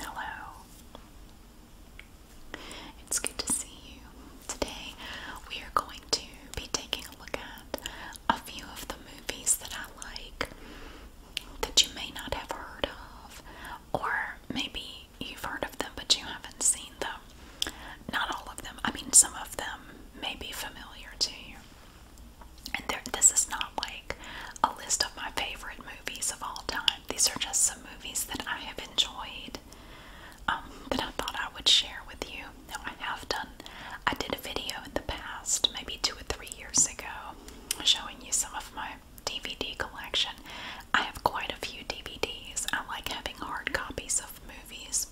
Hello. It's good to see you. Today we are going to be taking a look at a few of the movies that I like that you may not have heard of, or maybe you've heard of them but you haven't seen them. Not all of them, I mean, some of them may be familiar to you. And this is not like a list of my favorite movies of all time. These are just some movies that I have enjoyed um, that I thought I would share with you. Now, I have done, I did a video in the past, maybe two or three years ago, showing you some of my DVD collection. I have quite a few DVDs. I like having hard copies of movies.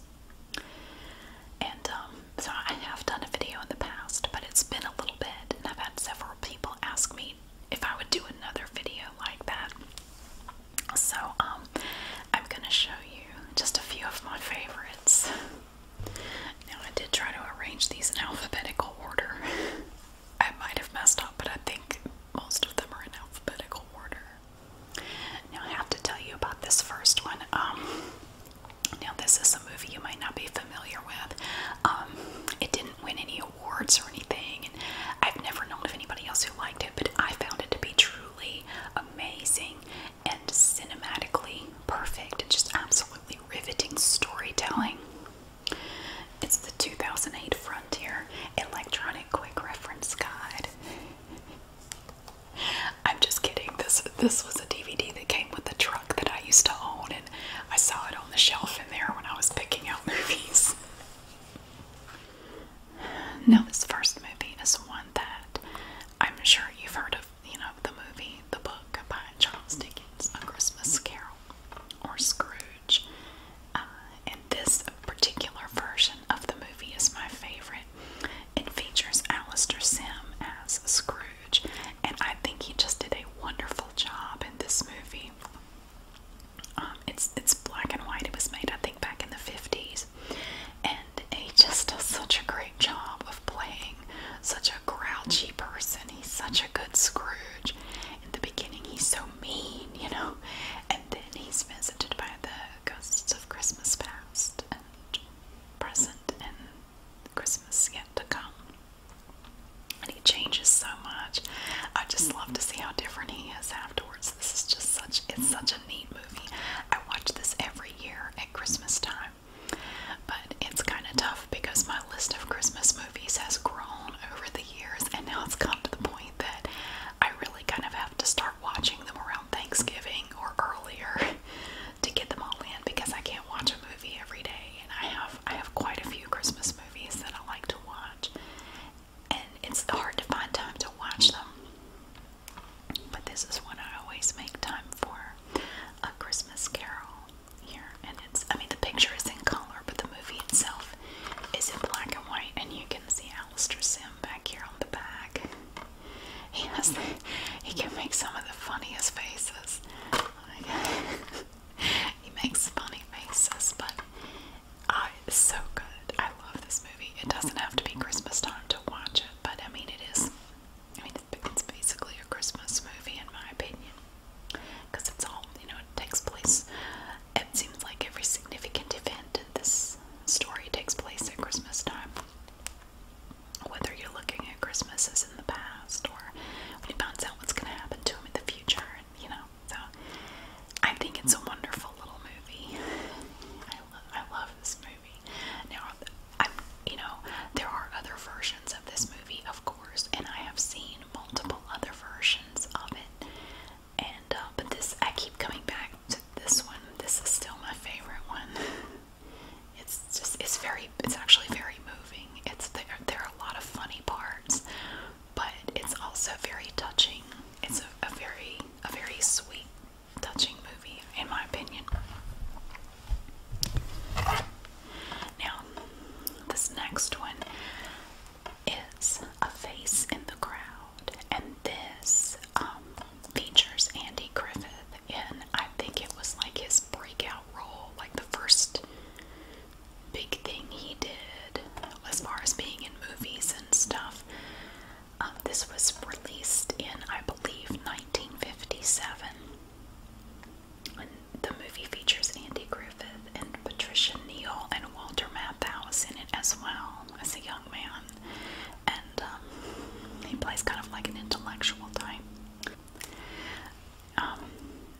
And um, so I have done a video in the past, but it's been a little bit, and I've had several people ask me if I would do another video like that. So, um, I'm gonna show you just a few of my favorites. Now, I did try to arrange these in alphabetical order. I might have messed up, but I think most of them are in alphabetical order. Now, I have to tell you about this first one. Um, now, this is a movie you might not be familiar with. Um, it didn't win any awards or anything, I've never known of anybody else who liked it, but I found it to be truly amazing and cinematically perfect and just absolutely riveting storytelling. It's the 2008 Frontier Electronic Quick Reference Guide. I'm just kidding. This this was a DVD that came with the truck that I used to own, and I saw it on the shelf in there when I was picking out movies. now, this first movie is one that I'm sure you've heard of, you know, the movie, the book by Charles Dickens, A Christmas Carol, or Scrooge. Uh, and this particular version of the movie is my favorite. It features Alistair Sim as Scrooge, and I think he just did a wonderful job in this movie. Um, it's it's black and white. It was made, I think, back in the fifties, and he just does such a great job of playing such a grouchy person. He's such a good Scrooge. In the beginning, he's so mean, you know, and then he's visited by the ghosts of Christmas past and present and Christmas yet to come and he changes so much. I just love to see how different he is afterwards. This is just such it's such a neat movie. I watch this every year at Christmas time. But it's kind of tough because my list of Christmas movies has grown over the years and now it's come to the point that I really kind of have to start watching them around Thanksgiving or earlier to get them all in because I can't watch a movie every day and I have I have quite a few Christmas movies movies that I like to watch, and it's hard to find time to watch them. But this is one I always make time for A Christmas Carol here. And it's, I mean, the picture is in color, but the movie itself is in black and white, and you can see Alistair Sim back here on the back. He has, he can make some of the funniest faces. he makes funny faces, but uh, it's so good. I love this movie. It doesn't have to be Christmas time to watch it, but I mean, it is. I mean, it's basically a Christmas movie, in my opinion, because it's all you know. It takes place. It seems like every significant event in this story takes place at Christmas time. Whether you're looking at Christmas as in the past or when he finds out what's going to happen to him in the future and you know so I think it's a wonderful little movie I, I love this movie now I'm you know there are other versions of this movie of course and I have seen multiple other versions of it and uh, but this I keep coming back to this one this is still my favorite one it's just it's very it's actually very moving. It's there there are a lot of funny parts, but it's also very touching. It's a, very a very sweet touching movie in my opinion. Now, this next one is A Face in the Crowd, and this um, features Andy Griffith and I think it was like his breakout role, like the first big thing he did as far as being in movies and stuff. Um, this was released in, I believe, 1957. the movie features Andy Griffith and Patricia Neal and Walter Matthau in it as well as a young man. And um, he plays kind of like an intellectual type. Um,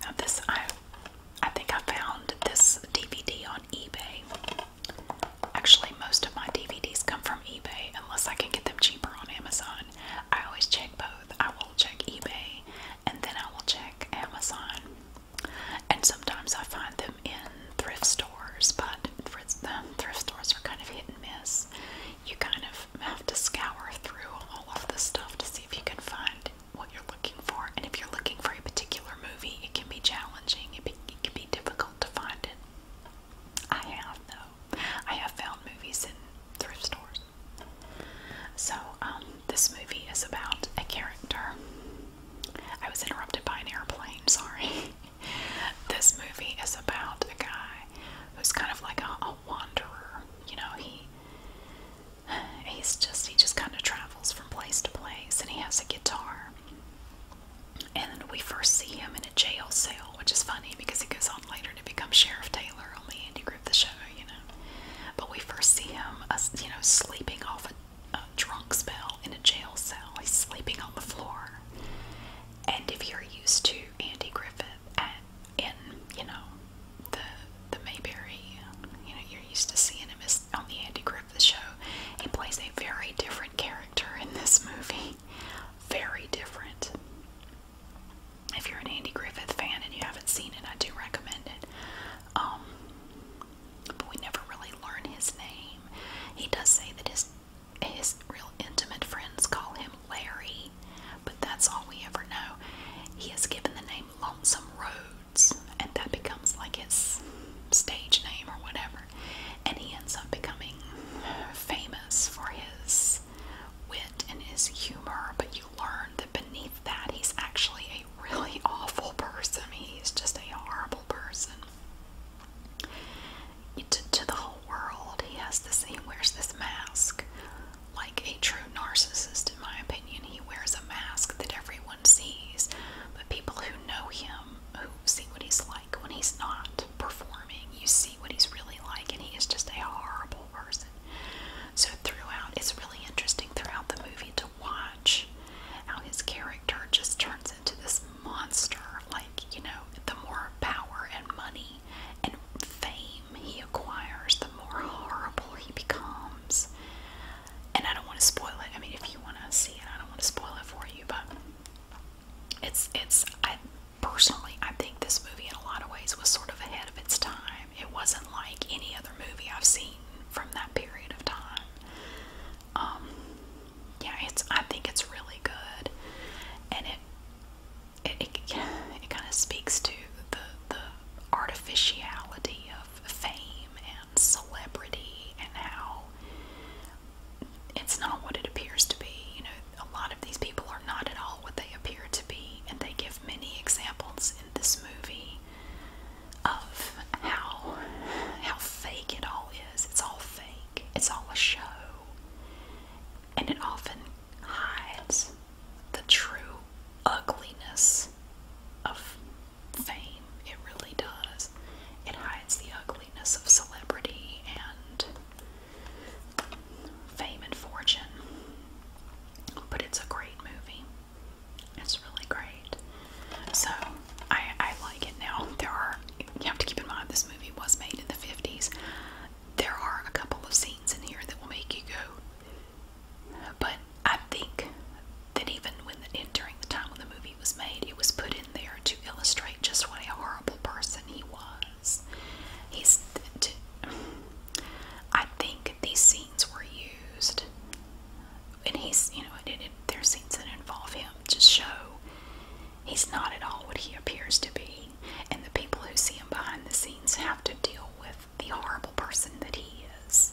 now this I I think I found this DVD on eBay. Actually, most of my DVDs come from eBay unless I can get them cheaper on Amazon. I always check both. I will check eBay and then I will check Amazon. And sometimes I find them in thrift stores, but thrift, um, stores are kind of hit and miss. You kind of have to scour through all of the stuff to see if you can find what you're looking for. And if you're looking for a particular movie, it can be challenging. It, can be difficult to find it. I have though. I have found movies in thrift stores. So um, this movie is about a character. I was interrupted by an airplane. Sorry. this movie is about a guy who's kind of like a wanderer. You know, he he's just he just kind of travels from place to place and he has a guitar and we first see him in a jail cell which is funny because he goes on later to become sheriff taylor on the andy griffith show you know but we first see him uh, you know sleeping off a, a drunk spell in a jail cell he's sleeping on the floor and if you're used to andy griffith at in you know the the Mayberry. You know you're used to seeing him as on the Andy Griffith Show. He plays a very different character in this movie. Very different. If you're an Andy Griffith fan and you haven't seen it, I do recommend it. Um, but we never really learn his name. He does say that his his real intimate friends call him Larry, but that's all we ever know. He has given the name Lonesome Rhodes, and that becomes like his stage name or whatever. And he ends up becoming famous for his wit and his humor, but you learn that beneath that, he's actually a really awful person. He's just a horrible person. To, the whole world, he has to He wears this mask like a true narcissist, in my opinion. He wears a mask that everyone sees, but people who know him, who see what he's like when he's not performing, you see what he's really like, and he is just a horrible person. So, throughout, it's really interesting throughout the movie to watch how his character just turns into this monster. Like, you know, the more power and money and fame he acquires, the more horrible he becomes films. And I don't want to spoil it. I mean, if you want to see it, I don't want to spoil it for you, but it's it's I personally I think this movie in a lot of ways was sort of ahead of its time. It wasn't like any other movie I've seen from that period of time. Um yeah, it's I think it's really good. And it it, it, it kind of speaks to the the artificiality of fame and celebrity and how it's not what it appears to be. You know, a lot of these people are not at all what they appear to be, and they give many examples in this movie of how how fake it all is. It's all fake. It's all a show. And it often hides the true ugliness of fame. It really does. It hides the ugliness of celebrity and fame and fortune. But it's a great movie. It's really great. So I, like it now. There are, you have to keep in mind this movie was made in the 50s. There are a couple of scenes in here that will make you go, but I think that even when the, during the time when the movie was made, it was put in there to illustrate just what a horrible person he was. He's. To, I think these scenes were used, and he's you know it, it, there's scenes that involve him to show he's not at all what he appears to be, and the people who see him behind the scenes have to deal with the horrible person that he is.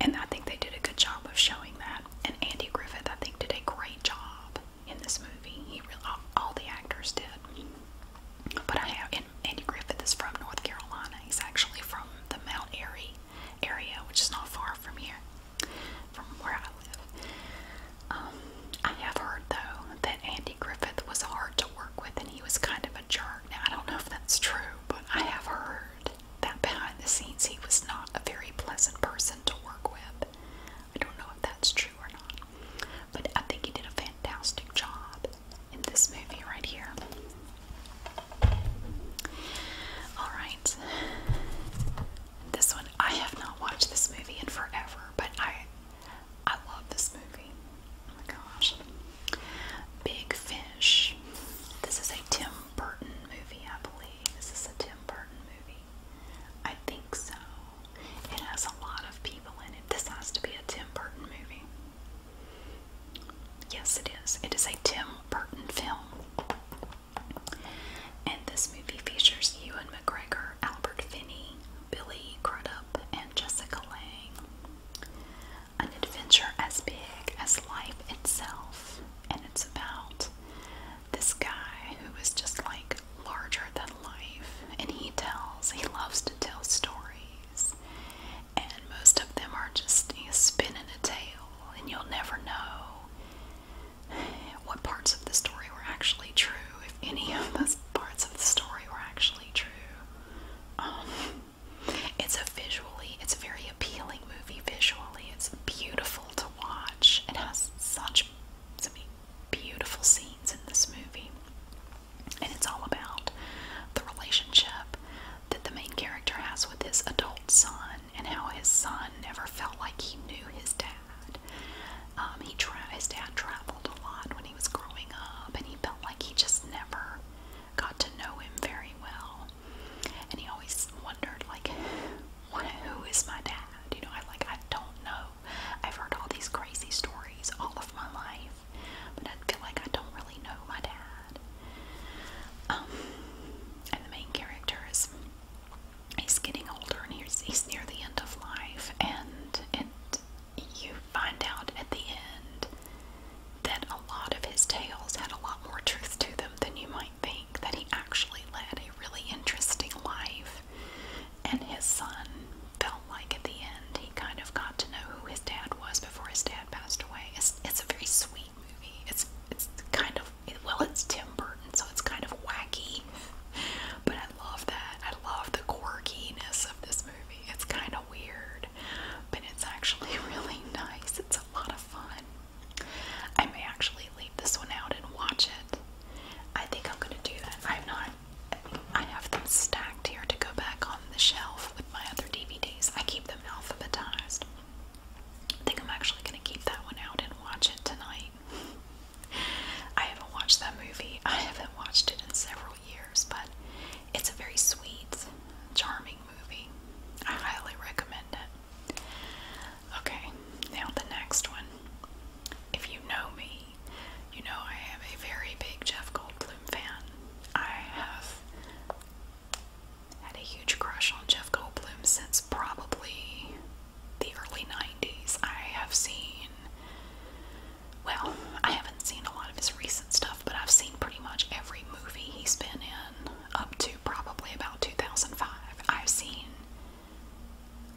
And I think they did a good job of showing that. And Andy Griffith, I think, did a great job in this movie. He really, all, all the actors did. But I have, and Andy Griffith is from North Carolina. He's actually from the Mount Airy area, which is not far from here, from where I live. Um, I have heard though that Andy Griffith was hard to work with he was kind of a jerk. Now, I don't know if that's true, but I have heard that behind the scenes he was not a very pleasant person to work with. I don't know if that's true or not, but I think he did a fantastic job in this movie right here. Alright, this one, I have not watched this movie in forever, but I. I love this movie. Oh my gosh. Big Fish. This is a Tim Burton movie, I believe. Is this a Tim Burton movie? I think so. It has a lot of people in it. This has to be a Tim Burton movie. Yes, it is. It is a Tim Burton film. And this movie features Ewan McGregor, Albert Finney, Billy Crudup, and Jessica Lange an adventure as big as life itself. And it's about this guy who is just like larger than life. And he tells, he loves to tell stories. And most of them are just you know, spinning a tale, and you'll never know what parts of the story were actually true, if any of those parts of the story were actually true. Um, it's a visually, it's a very appealing movie visually. It's beautiful to watch. It has such beautiful scenes in this movie. And it's all about the relationship that the main character has with his adult son and how his son never felt like he knew his dad. Um, he tra his dad traveled a lot when he was growing up and he felt like he just never got to know him very well. And he always wondered, like, who is my dad? You know, I like I don't know. I've heard all these crazy stories all of my life, but I feel like I don't really know my dad. Um, and the main character is he's getting older and he's he's near the end of life, and and you find out at the end that a lot of his tales had a lot more truth to them than you might think, that he actually led a really interesting life. And his son felt like at the end he kind of got to know who his dad was before his dad passed away. It's, it's a very sweet movie. It's it's kind of well, it's Tim Burton, so it's kind of wacky. But I love that. I love the quirkiness of this movie. It's kind weird, but it's actually really nice. It's a lot of fun. I may actually leave this one out and watch it. I think I'm gonna do that. I'm not. I have them stacked here to go back on the shelf with my other DVDs. I keep them alphabetized. I think I'm actually gonna keep that one out and watch it tonight. I haven't watched that movie. I haven't watched it in several years, but it's a very sweet, charming movie. I highly recommend it. Okay, now the next one. If you know me, you know I am a very big Jeff Goldblum fan. I have had a huge crush on Jeff Goldblum since probably the early 90s. I have seen well, I haven't seen a lot of his recent stuff, but I've seen pretty much every movie he's been in up to probably about 2005. I've seen,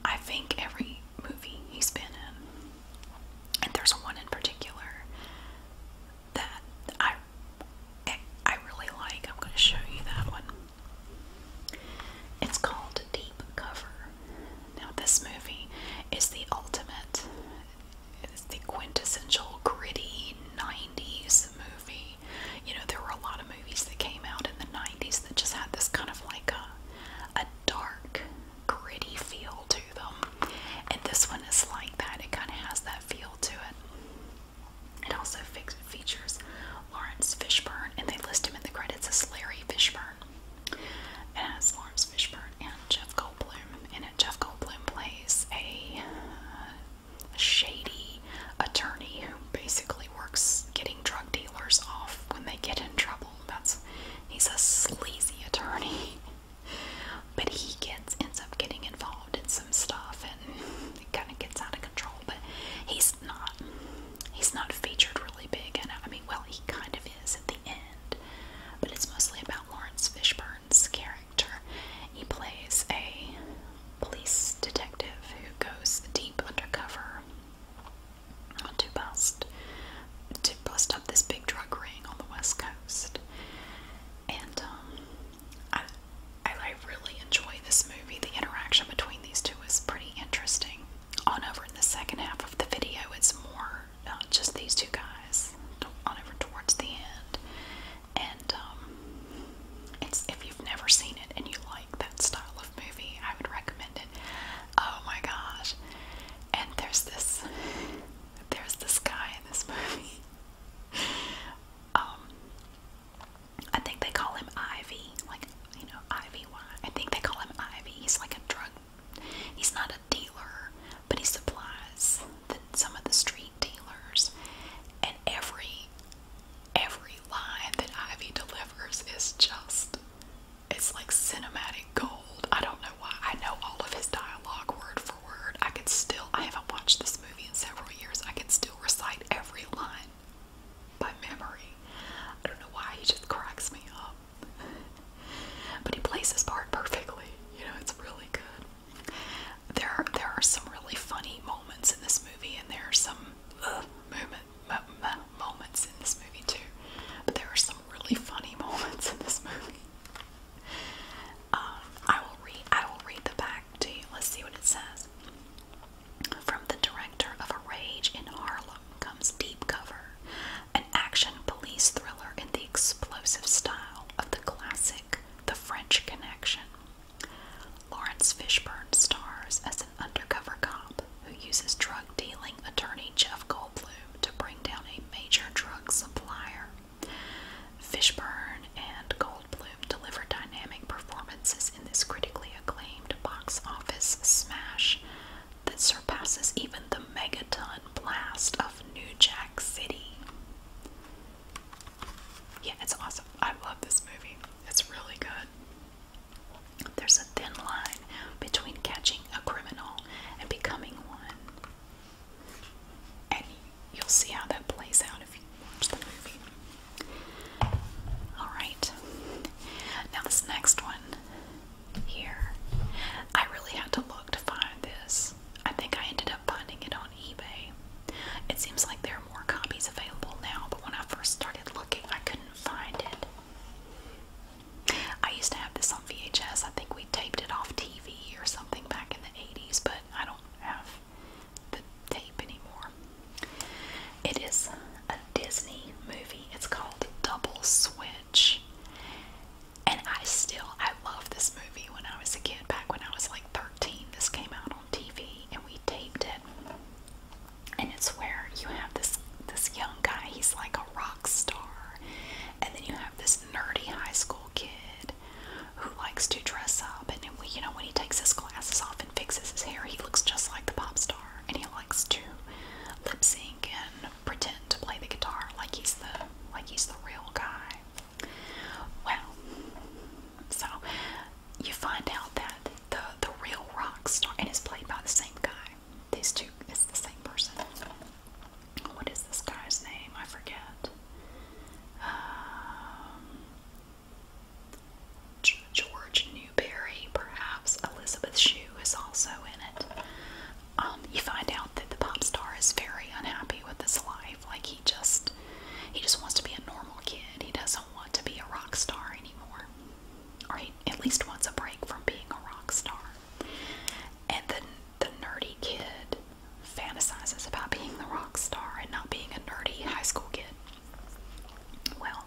I think, every movie he's been in. And there's one in particular that I, I really like. I'm going to show you that one. It's called Deep Cover. Now, this movie is the ultimate it's the quintessential gritty 90s movie. You know, there were a lot of movies that came out in the 90s that just had this kind of like a, a dark, gritty feel to them. And this one is like that. It kind of has that feel to it. It also fe features Lawrence Fishburne, and they list him in the credits as Larry Fishburne. It has Lawrence Fishburne and Jeff Goldblum in it. Jeff Goldblum plays a, uh, a shady attorney who basically works getting drug dealers off when they get in trouble. That's he's a sleazy attorney, but he gets ends up getting involved in some stuff and it kind of gets out of control. But he's not he's not featured really big, and I mean, well, he kind of is at the end, but it's mostly about Lawrence Fishburne character. He plays a police detective who goes deep undercover to bust to bust up this big drug ring on the west coast. And um, I really enjoy this movie. The interaction between these two is pretty interesting. On over in the second half of the video, it's more not just these two guys, on over towards the end. And um, it's if you've never seen it and you like that style of movie, I would recommend it. Oh my gosh! And there's this, there's this guy in this movie. Um, I think they call him Ivy, like you know Ivy. I think they call him Ivy. He's like a drug He's not a dealer, but he supplies some of the street dealers. And every every line that Ivy delivers is just it's like cinematic gold. I don't know why. I know all of his dialogue word for word. I could still I haven't watched this movie in several years. I can still recite every line by memory. I don't know why he just cracks me up. But he plays his part perfectly. You know, it's really good. There are, there are some really funny moments in this movie, and there are some uh, moment, moments in this movie too. But there are some really funny moments in this movie. Um, I will read. I will read the back to you. Let's see what it says. From the director of A Rage in Harlem comes Deep Cover, an action police thriller in the explosive style of the classic The French Connection. Lawrence Fishburne stars as an undercover cop who uses drug dealing attorney Jeff Goldblum to bring down a major drug supplier. Fishburne and Goldblum deliver dynamic performances in this critically acclaimed box office smash that surpasses even the mega blast of New Jack City. Yeah, it's awesome. I love this movie. It's really good. There's a thin line between catching a criminal and becoming one. And you'll see how that plays out if you watch the movie. Alright. Now, this next one here, I really had to look to find this. I think I ended up finding it on eBay. It seems like there are more copies available now, but when I first started looking, I couldn't find it. I used to have this on VHS. I think we taped it off TV or something back in the 80s, but I don't have the tape anymore. It is a Disney movie. It's called Double Swim. And I still, I love this movie when I was a kid, back when I was like 13. This came out on TV and we taped it. And it's where you have this this young guy, he's like a rock star. And then you have this nerdy high school kid who likes to dress up and you know when he takes his glasses off and fixes his hair, he looks just like the pop star and he likes to lip sync and pretend to play the guitar like he's the like he's the real guy. Well, so you find out that the the real rock star and it's played by the same guy. These two it's the same person. What is this guy's name? I forget. Um, George Newberry, perhaps. Elizabeth Shue is also in it. Um, you find out that the pop star is very unhappy with his life. Like he just he just wants to be a normal kid. He doesn't want to be a rock star anymore. Or he at least wants a break from being a rock star. And then the nerdy kid fantasizes about being the rock star and not being a nerdy high school kid. Well,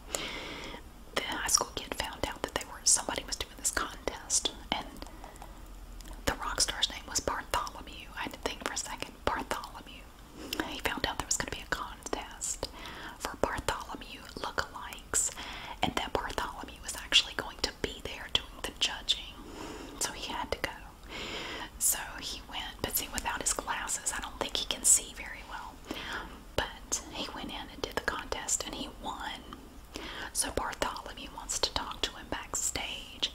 the high school kid found out that they were somebody was doing this contest and the rock star's name was Bartholomew. I had to think for a second. Bartholomew. He found out there was going to be a contest for Bartholomew lookalikes, and that Bartholomew was actually going to be there doing the judging. So he had to go. So he went, but see, without his glasses, I don't think he can see very well. But he went in and did the contest, and he won. So Bartholomew wants to talk to him backstage,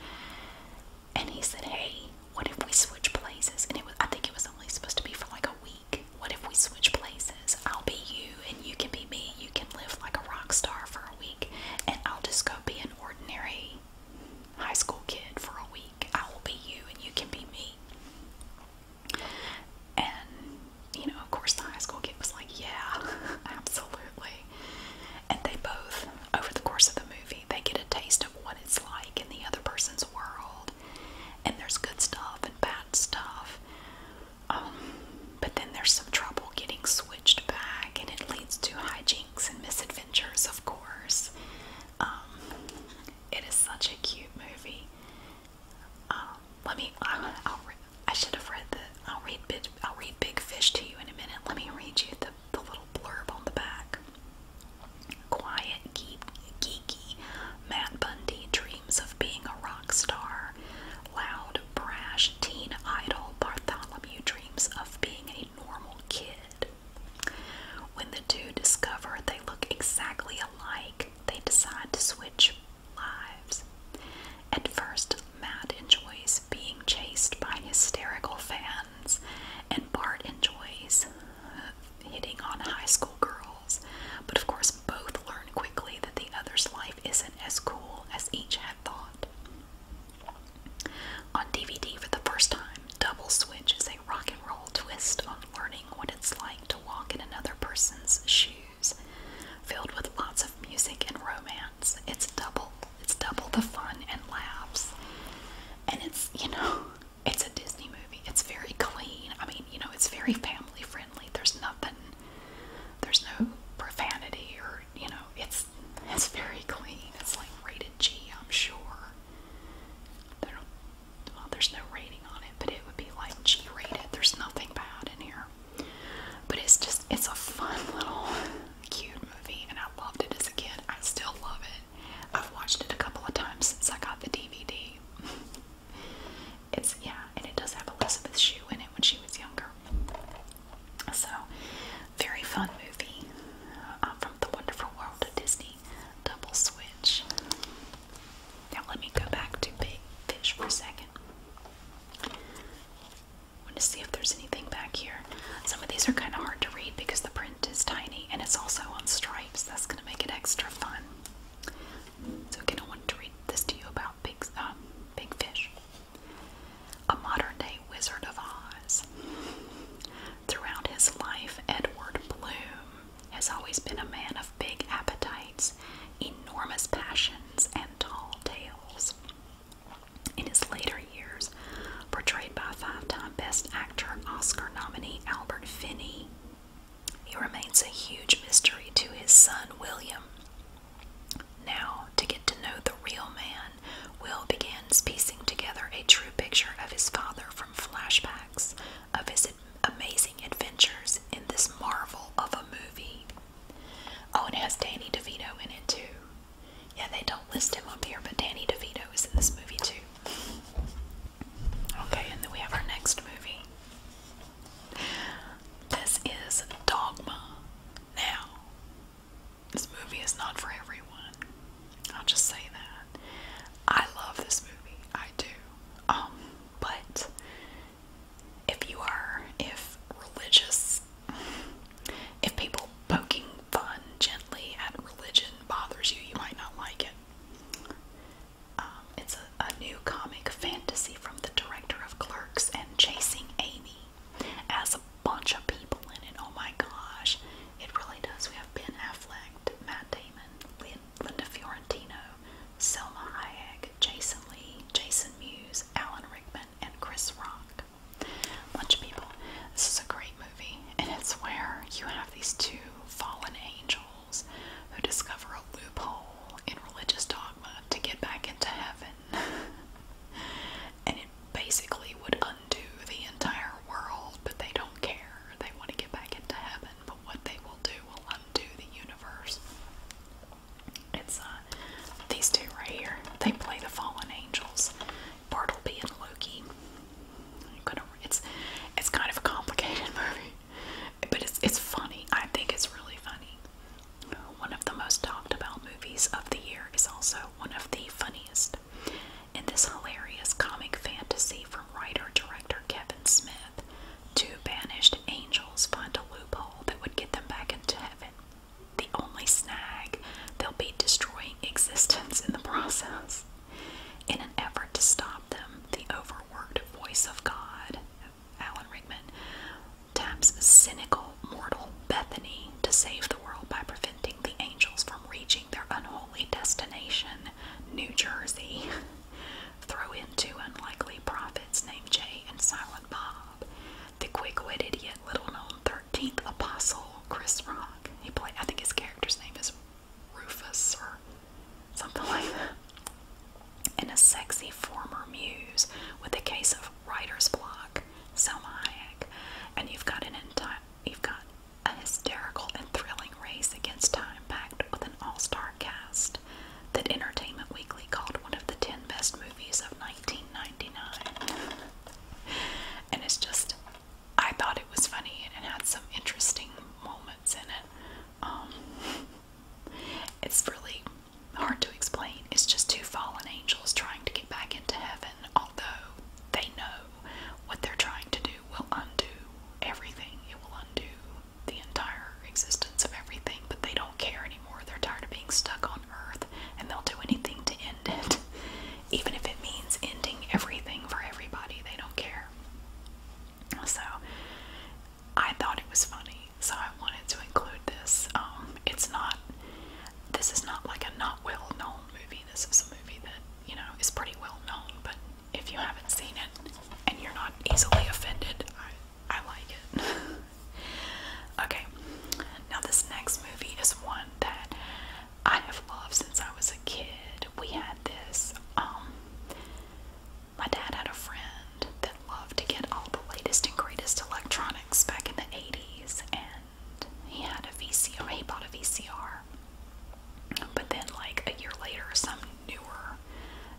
and he said, "Hey, what if we switch places?" And it was—I think it was only supposed to be for like a week. What if we switch places? I'll be you, and you can be me. You can live like a rock star for a week, and I'll just go be an ordinary high school kid for a week. I will be you, and you can be me. And you know, of course, the high school kid was like, "Yeah, absolutely." And they both, over the course of the movie, they get a taste of what it's like in the other person's world. And there's good stuff and bad stuff. Um, but then there's some trouble getting switched back, and it leads to hijinks and misadventures, of course. Um, it is such a cute movie. Um, let me, I should have read the. I'll read big. I'll read Big Fish to you in a minute. Let me read you the the little blurb on the back. Quiet, geeky, man Bundy dreams of being a rock star. Loud, brash, teen idol Bartholomew dreams of being a normal kid. When the two discover they look exactly alike, they decide to switch lives. At first, Matt enjoys being chased by hysterical fans, and Bart enjoys hitting on high school girls. But of course, both learn quickly that the other's life isn't as cool as each had thought. On DVD for the first time, Double Switch is a rock and roll twist on learning what it's like to walk in another person's shoes. Filled with lots of music and romance, it's double it's double the fun and laughs. And it's, you know, it's a Disney movie. It's very clean. I mean, you know, it's very family friendly. There's nothing, there's no profanity or, you know, it's it's very clean. It's like rated G, I'm sure. there's no rating on it, but it would be like G rated. There's nothing bad in here. But it's just, it's a fun little cute movie, and I loved it as a kid. I still love it. I've watched it a couple of times since I got the DVD. it's, yeah, and it does have Elizabeth Shue in it when she was younger. So, very fun movie uh, from The Wonderful World of Disney. Double switch. Now, let me go back to Big Fish for a second. I want to see if there's anything back here. Some of these are kind of hard to read because the print is tiny and it's also on stripes. That's going to make it extra fun. So again, I wanted to read this to you about big, um, big fish. A modern day Wizard of Oz. Throughout his life, Edward Bloom has always been a man of big appetites, enormous passions, and tall tales in his later years, portrayed by five-time Best Actor Oscar nominee Albert Finney. He remains a huge mystery to his son William. Now, to get to know the real man, Will begins piecing together a true picture of his father from flashbacks of his amazing adventures in this marvel of a movie. Oh, it has Danny DeVito in it too. Yeah, they don't list him up here, but Danny DeVito is in this movie too. Okay, and then we have our next movie. This is Dogma. Now, this movie is not for everyone. I'll just say that. I love this movie. I do. Um, but if you are, if religious if people poking fun gently at religion bothers you, you might not like it. Um, it's a, a new comic fantasy from the director of Clerks and Chasing Amy. As a bunch of people in it. Oh my gosh. It really does. We have Ben Affleck, Matt Damon, Linda Fiorentino, Selma Hayek, Jason Lee, Jason Mewes, Alan Rickman, and Chris Rock. Bunch of people. This is a great movie, and it's where you have these two fallen angels who discover a loophole in religious dogma to get back into heaven. and it basically would undo the entire world, but they don't care. They want to get back into heaven, but what they will do will undo the universe. It's uh, these two right here. They play the fallen angels, Bartleby and Loki. it's it's kind of a complicated movie, but it's it's funny. I think it's really funny. One of the most talked about movies of the year is also one of the funniest. In this hilarious comic fantasy from writer director Kevin Smith, two banished angels find a loophole that would get them back into heaven the only snag, they'll be destroying existence in the process. In an effort to stop them, the overworked voice of God, Alan Rickman, taps cynical mortal Bethany to save the world by preventing the angels from reaching their unholy destination, New Jersey. Throw in two unlikely prophets named Jay and Silent Bob the quick-witted yet little-known 13th apostle Chris Rock. He played. I think his character's name is Rufus or something like that. And a sexy former muse with a case of writer's block, Selma Hayek. And you've got an entire, you've got a hysterical and thrilling race against time, packed with an all-star cast that Entertainment Weekly called one of the ten best movies of 19 and it's just, I thought it was funny and it had some interesting moments in it. Um, it's really hard to explain. It's just two fallen angels trying to get back into heaven, although they know what they're trying to do will undo everything. It will undo the entire existence of everything, but they don't care anymore. They're tired of being stuck on earth, and they'll do anything to end it, even if it means ending everything for everybody. They don't care. So, I thought it was funny, so I wanted to include this. Um, it's not, this is not like a not well known movie. This is a movie that, you know, is pretty well known, but if you haven't seen it and you're not easily offended, I, I like it. Okay, now this next movie is one that I have loved since I was a kid. We had this. Um, my dad had a friend that loved to get all the latest and greatest electronics back in the 80s, and he had a VCR. He bought a VCR. But then, like a year later, some newer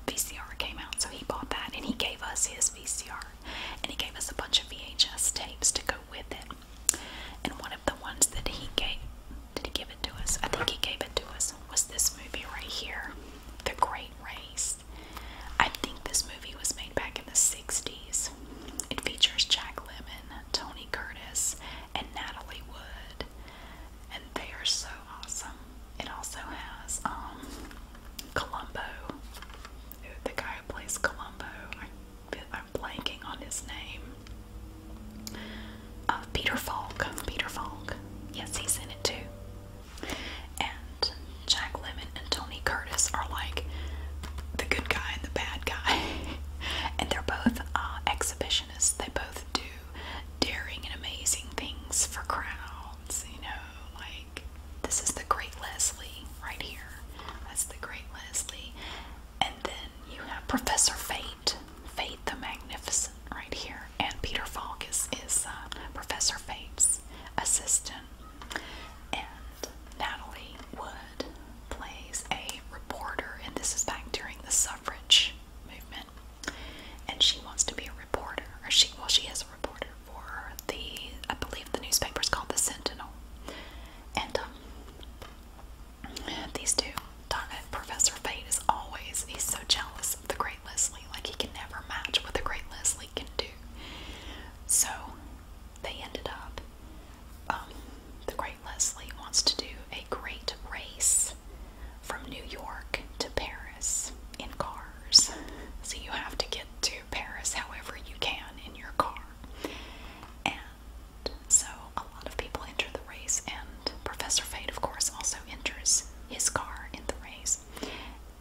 VCR came out, so he bought that and he gave us his VCR and he gave us a bunch of VHS tapes to go with it. And one of the ones that he gave, did he give it to us? I think he gave it to us, was this movie right here, The Great Race. I think this movie was made back in the 60s. It features Jack Lemmon, Tony Curtis, and Natalie Wood. And they are so awesome. It also has um Colombo, the guy who plays Columbo, I, am blanking on his name. Uh, Peter Falk, Peter Falk. Yes, he's in it too. And Jack Lemmon and Tony Curtis are like the good guy and the bad guy, and they're both uh, exhibitionists. They both do daring and amazing things for crowds. You know, like this is the Great Leslie right here. That's the Great Leslie. And then you have Professor Fate, Fate the Magnificent right here. And Peter Falk is, uh, Professor Fate's assistant. And Natalie Wood plays a reporter, and this is back during the suffrage movement. And she wants to be a reporter, or she well, she is a reporter for the, I believe the newspaper is called the Sentinel. And um, these two, uh, Professor Fate is always, he's so jealous of the great Leslie. Like he can never match what the great Leslie can do. So they ended up, um, the great Leslie wants to do a great race from New York to Paris in cars. So you have to get to Paris however you can in your car. And so a lot of people enter the race, and Professor Fate, of course, also enters his car in the race.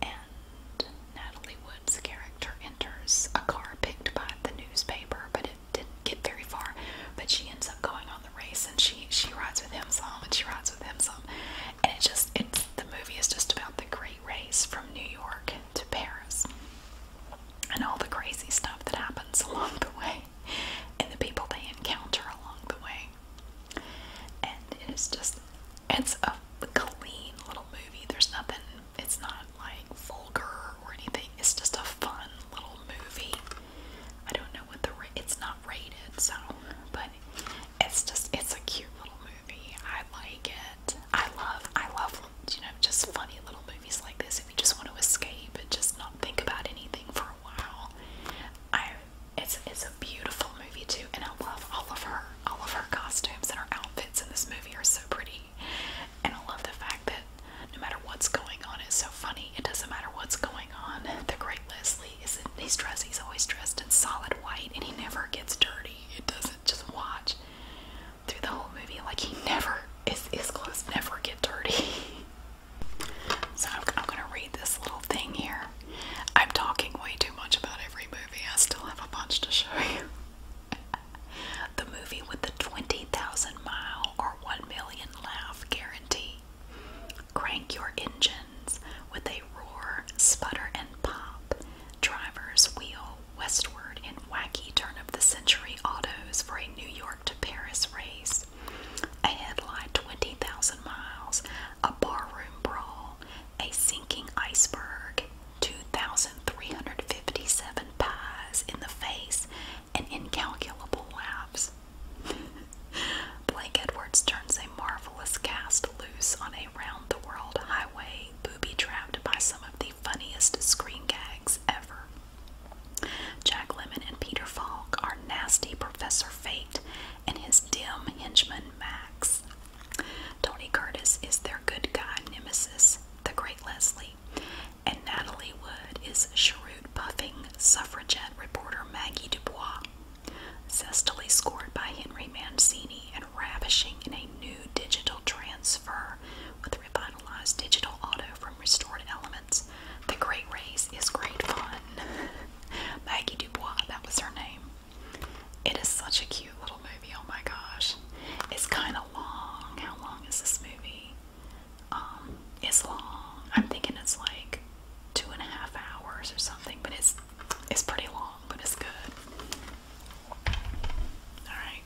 And Natalie Wood's character enters a car picked by the newspaper, but it didn't get very far. But she ends up going on the race, and she she rides with him some, and she rides with him some, and it just it the movie is just about the great race from New York to Paris and all the crazy stuff that happens along the way and the people they encounter along the way. And it is just, it's a clean little movie. There's nothing, it's not like vulgar or anything. It's just a fun little movie. I don't know what the, it's not rated, so, but it's just, it's a cute little movie. I like it. I love, I love, you know, just funny little movies like this. If you just want to escape and just not think about anything for a while, I, it's it's a beautiful movie too. And I love all of her, all of her costumes and her outfits in this movie are so pretty. And I love the fact that no matter what's going on, it's so funny. It doesn't matter what's going on. The great Leslie is in, he's dressed. He's always dressed in solid white, and he never gets dirty. It does. not just watch through the whole movie. Like he never his his clothes never get dirty. so I'm gonna read this little thing here. I'm talking way too much about every movie. I still have a bunch to show you. the movie with the twenty thousand mile or one million laugh guarantee. Crank your engines with a roar, sputter, and pop. Drivers wheel westward in wacky turn of the century autos for a New York to Paris race. A headlight 20,000 miles, a barroom brawl, a sinking iceberg, 2,357 pies in the face, and incalculable laughs. Blake Edwards turns a marvelous cast loose on a round the world highway booby trapped by some of the funniest screen gags ever. Jack Lemmon and Peter Falk are nasty Professor Fate and his dim henchman Max. Tony Curtis is their good guy nemesis, the great Leslie, and Natalie Wood is cheroot puffing suffragette reporter Maggie Dubois. Zestily scored by Henry Mancini and ravishing in a new digital transfer with revitalized digital auto from restored elements. The Great Race is great fun. Maggie Dubois, that was her name. It is such a cute little movie, oh my gosh. It's kind of long. How long is this movie? Um, it's long. I'm thinking it's like two and a half hours or something, but it's it's pretty long, but it's good. Alright.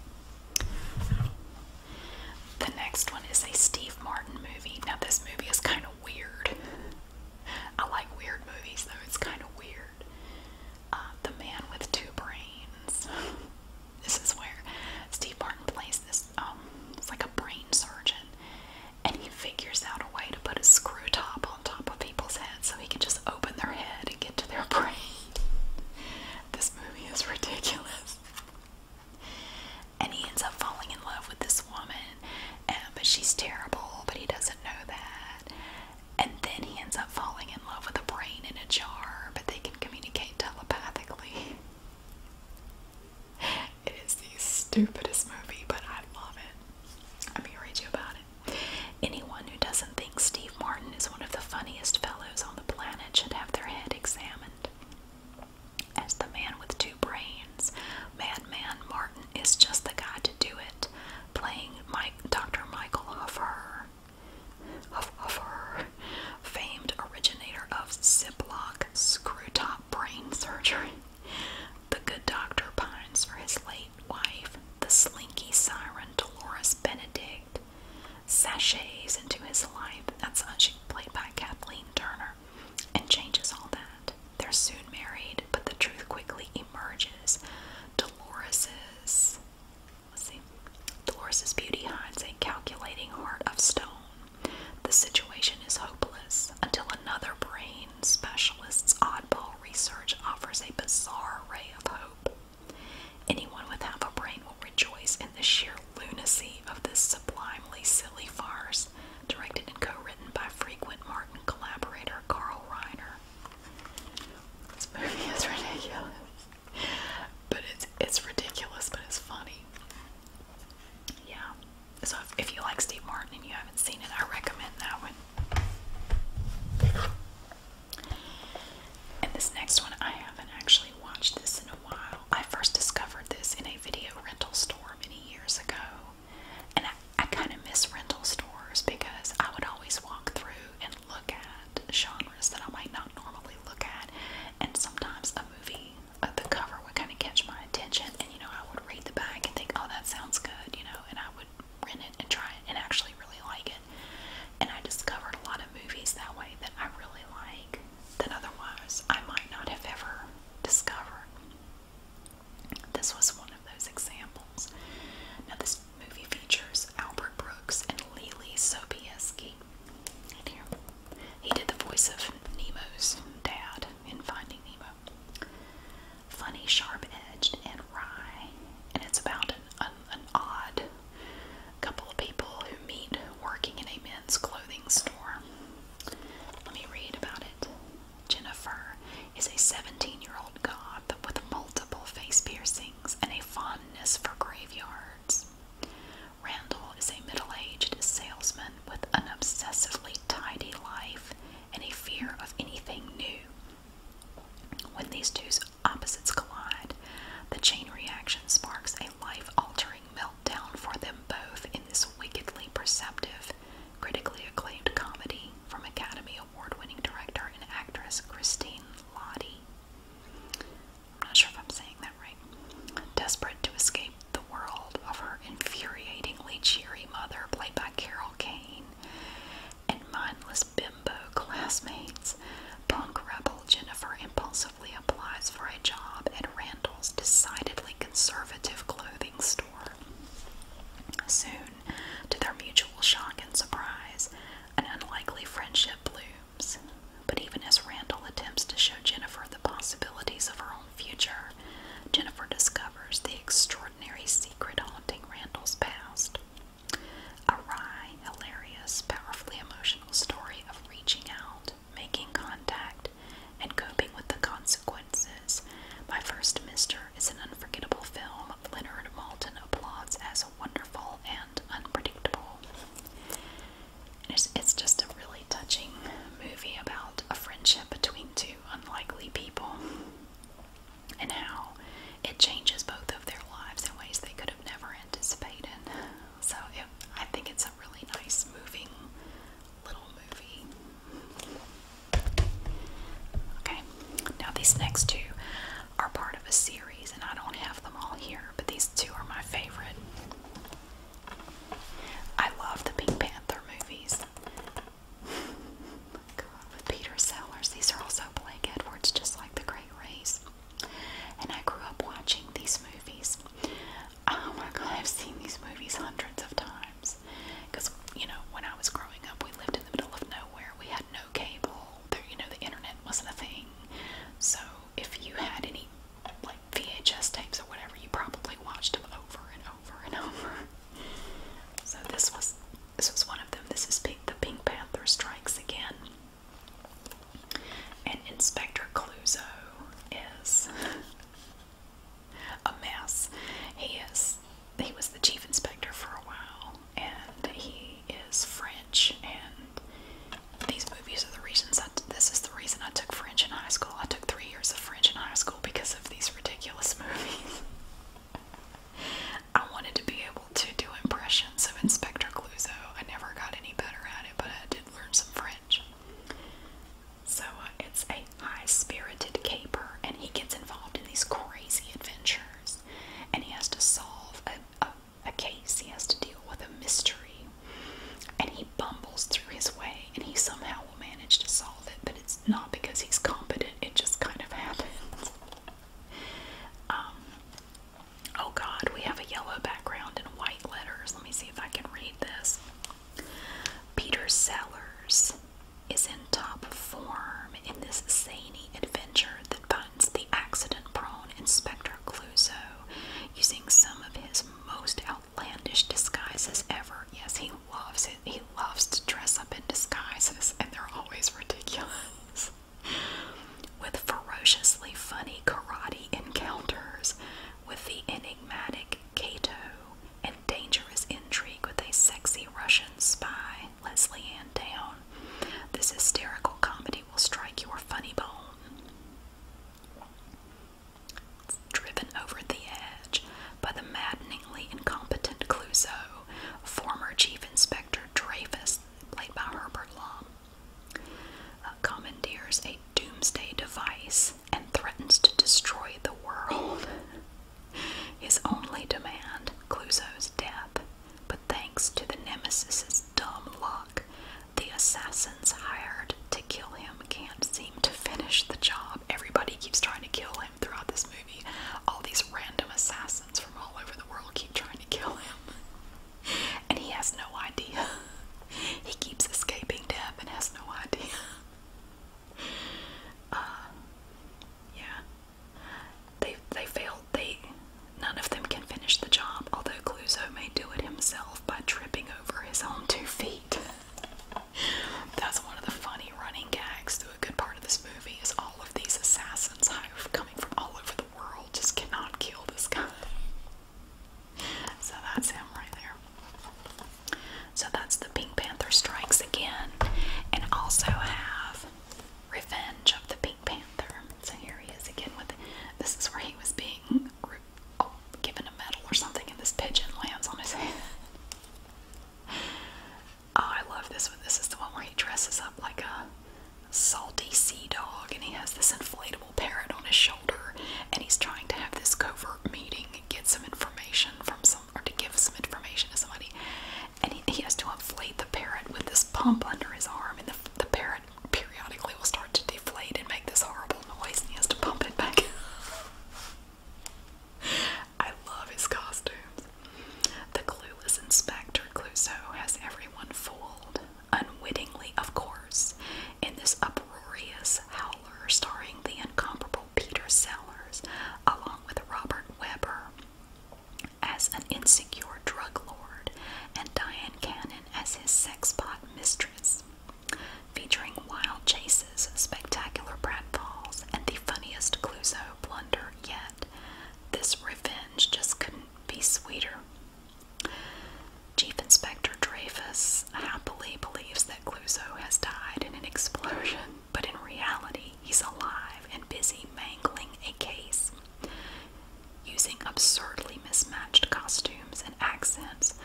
The next one is a Steve Martin movie. Now this movie is kind of weird. I like weird movies though, it's kind of weird. Uh, the Man with Two Brains. this is where Steve Martin plays this, um, it's like a brain surgeon, and he figures out a way to put a screw top on top of people's heads so he can just open their head getting into their brain. this movie is ridiculous. And he ends up falling in love with this woman, but she's terrible, but he doesn't know that. And then he ends up falling in love with a brain in a jar, but they can communicate telepathically. It is the stupidest movie, but I love it. Let me read you about it. Anyone who doesn't think Steve Martin is one of the funniest fellows on the planet should have their head examined. As the man with two brains, Madman Martin is just the guy to do it, playing Dr. Michael Huffer, Huff, famed originator of Ziploc screw-top brain surgery. The good doctor pines for his late wife, the slinky siren Dolores Benedict sachets into his life. That's played by Kathleen Turner and changes all that. They're soon married, but the truth quickly emerges. Dolores's see. Dolores's beauty hides a calculating heart of stone. The situation is hopeless until another brain specialist's oddball research offers a bizarre ray of hope. Anyone with half a brain will rejoice in the sheer lunacy of this sublimely silly farce, directed and co-written by frequent Martin collaborator Carl Reiner. This movie is ridiculous. But it's it's ridiculous, but it's funny. Yeah. So if you like Steve Martin and you haven't seen it, I recommend that one. And this next one, I haven't actually watched this in a while. I first discovered this in a video rental store many years ago. And I, I kind of miss rental stores because I would always walk through and look at genres that I might not normally look at. And sometimes a movie, uh, the cover would kind of catch my attention. And, you know, I would read the back and think, oh, that sounds good, you know, and I rent it and try it and actually really like it. And I discovered a lot of movies that way that I really like that otherwise I might not have ever discovered. This was one of those examples. Now, this movie features Albert Brooks and Lily Sobieski. here, he did the voice of Nemo's dad in Finding Nemo. Funny, sharp edged, and wry. And it's about an, odd couple of people who meet working in a men's clothing store. Let me read about it. Jennifer is a 17 year old goth with multiple face piercings and a fondness for graveyards. Randall is a middle aged salesman with an obsessively tidy life and a fear of anything new. When these two opposites collide, the chain reaction sparks a life altering meltdown for them both in this wickedly perceptive, critically acclaimed comedy from Academy Award winning director and actress Christine Lottie. I'm not sure if I'm saying that right. Desperate to escape the world of her infuriatingly cheery mother, played by Carol Kane, and mindless bimbo classmates, punk rebel Jennifer impulsively applies for a job at Randall's decidedly conservative clothing store. Soon, to their mutual shock and surprise, an unlikely friendship blooms. But even as Randall attempts to show Jennifer the possibilities of her own future, Jennifer discovers the extraordinary secret haunting Randall's past. A wry, hilarious, powerfully emotional story of reaching out, making contact, and coping with the consequences. My First Mister is an unforgettable film Leonard Maltin applauds as wonderful and unpredictable. It's, it's just a really touching movie about a friendship between two unlikely people and how it changes both of their lives in ways they could have never anticipated. So it, I think it's a really nice, moving little movie. Okay, now these next two are part of a series, and I don't have them all here, but these two are my favorite. I love the Pink Panther movies with Peter Sellers. These are also Blake Edwards, just like The Great Race. And I grew up watching these movies. Oh my God, I've seen these movies hundreds of times. Because, you know, when I was growing up, we lived in the middle of nowhere. We had no cable. There, you know, the internet wasn't a thing. So if you had any, like, VHS tapes or whatever, you probably watched them over and over and over. So this was this was one of them. This is the Pink Panther Strikes Again. And Inspector Clouseau is a mess. He is he was the chief inspector for a while and he is French and these movies are the reasons that this is the reason I took French in high school. I took three years of French in high school because of these ridiculous movies. I wanted to be able to do impressions of Inspector Clouseau. I never got any better at it, but I did learn some French. So uh, it's a high-spirited caper, and he gets involved in these crazy adventures, and he has to solve a case. He has to deal with a mystery, and he bumbles through his way, and he somehow will manage to solve it. But it's not because he's competent; it just kind of happens. Um, oh God, we have a yellow background and white letters. Let me see if I can read this. Peter Sellers is in top form in this zany adventure that finds the accident-prone Inspector Clouseau using some of his most outlandish disguises ever. Yes, he loves it. He loves to dress up in disguises, and they're always ridiculous. with ferociously funny karate encounters with the enigmatic Kato, and dangerous intrigue with a sexy Russian spy, Leslie Ann Down. This hysterical comedy will strike your funny bone. driven over the edge by the maddeningly incompetent Clouseau, former Chief Inspector Dreyfus, played by Herbert Lom, uh, commandeers a doomsday device and threatens to destroy the world. His only demand, Clouseau's death, but thanks to the nemesis's dumb luck, the assassins hired to kill him can't seem to finish the job. Everybody keeps trying to kill him throughout this movie. All these random assassins from all over the world keep trying to kill him. And he has no idea. He keeps escaping death and has no idea. Uh, yeah. They they failed. They none of them can finish the job. Although Cluzo may do it himself by tripping over his own two feet. That's one of the funny running gags through a good part of this movie. Is all of these assassins have come from all over the world just cannot kill this guy. So that's him right there. So that's the Pink Panther Strikes Again. And also have Revenge of the Pink Panther. So here he is again with this is where he was being oh, given a medal or something and this pigeon lands on his head. Oh, I love this one. This is the one where he dresses up like a salty sea dog and he has this inflatable parrot on his shoulder and he's trying to have this covert meeting and get some information from some or to give some information to somebody and he, he has to inflate the parrot with this pump under his arm and the, the parrot periodically will start to deflate and make this horrible noise and he has to pump it back I love his costume the clueless Inspector Clouseau has everyone fooled, unwittingly, of course, in this uproarious howler starring the incomparable Peter Sellers, along with Robert Webber as an insecure drug lord and Diane Cannon as his sexpot mistress. Featuring wild chases, spectacular pratfalls, and the funniest Clouseau blunder yet this revenge just couldn't be sweeter. Chief Inspector Dreyfus happily believes that Clouseau has died in an explosion, but in reality, he's alive and busy mangling a case. Using absurdly mismatched costumes and accents,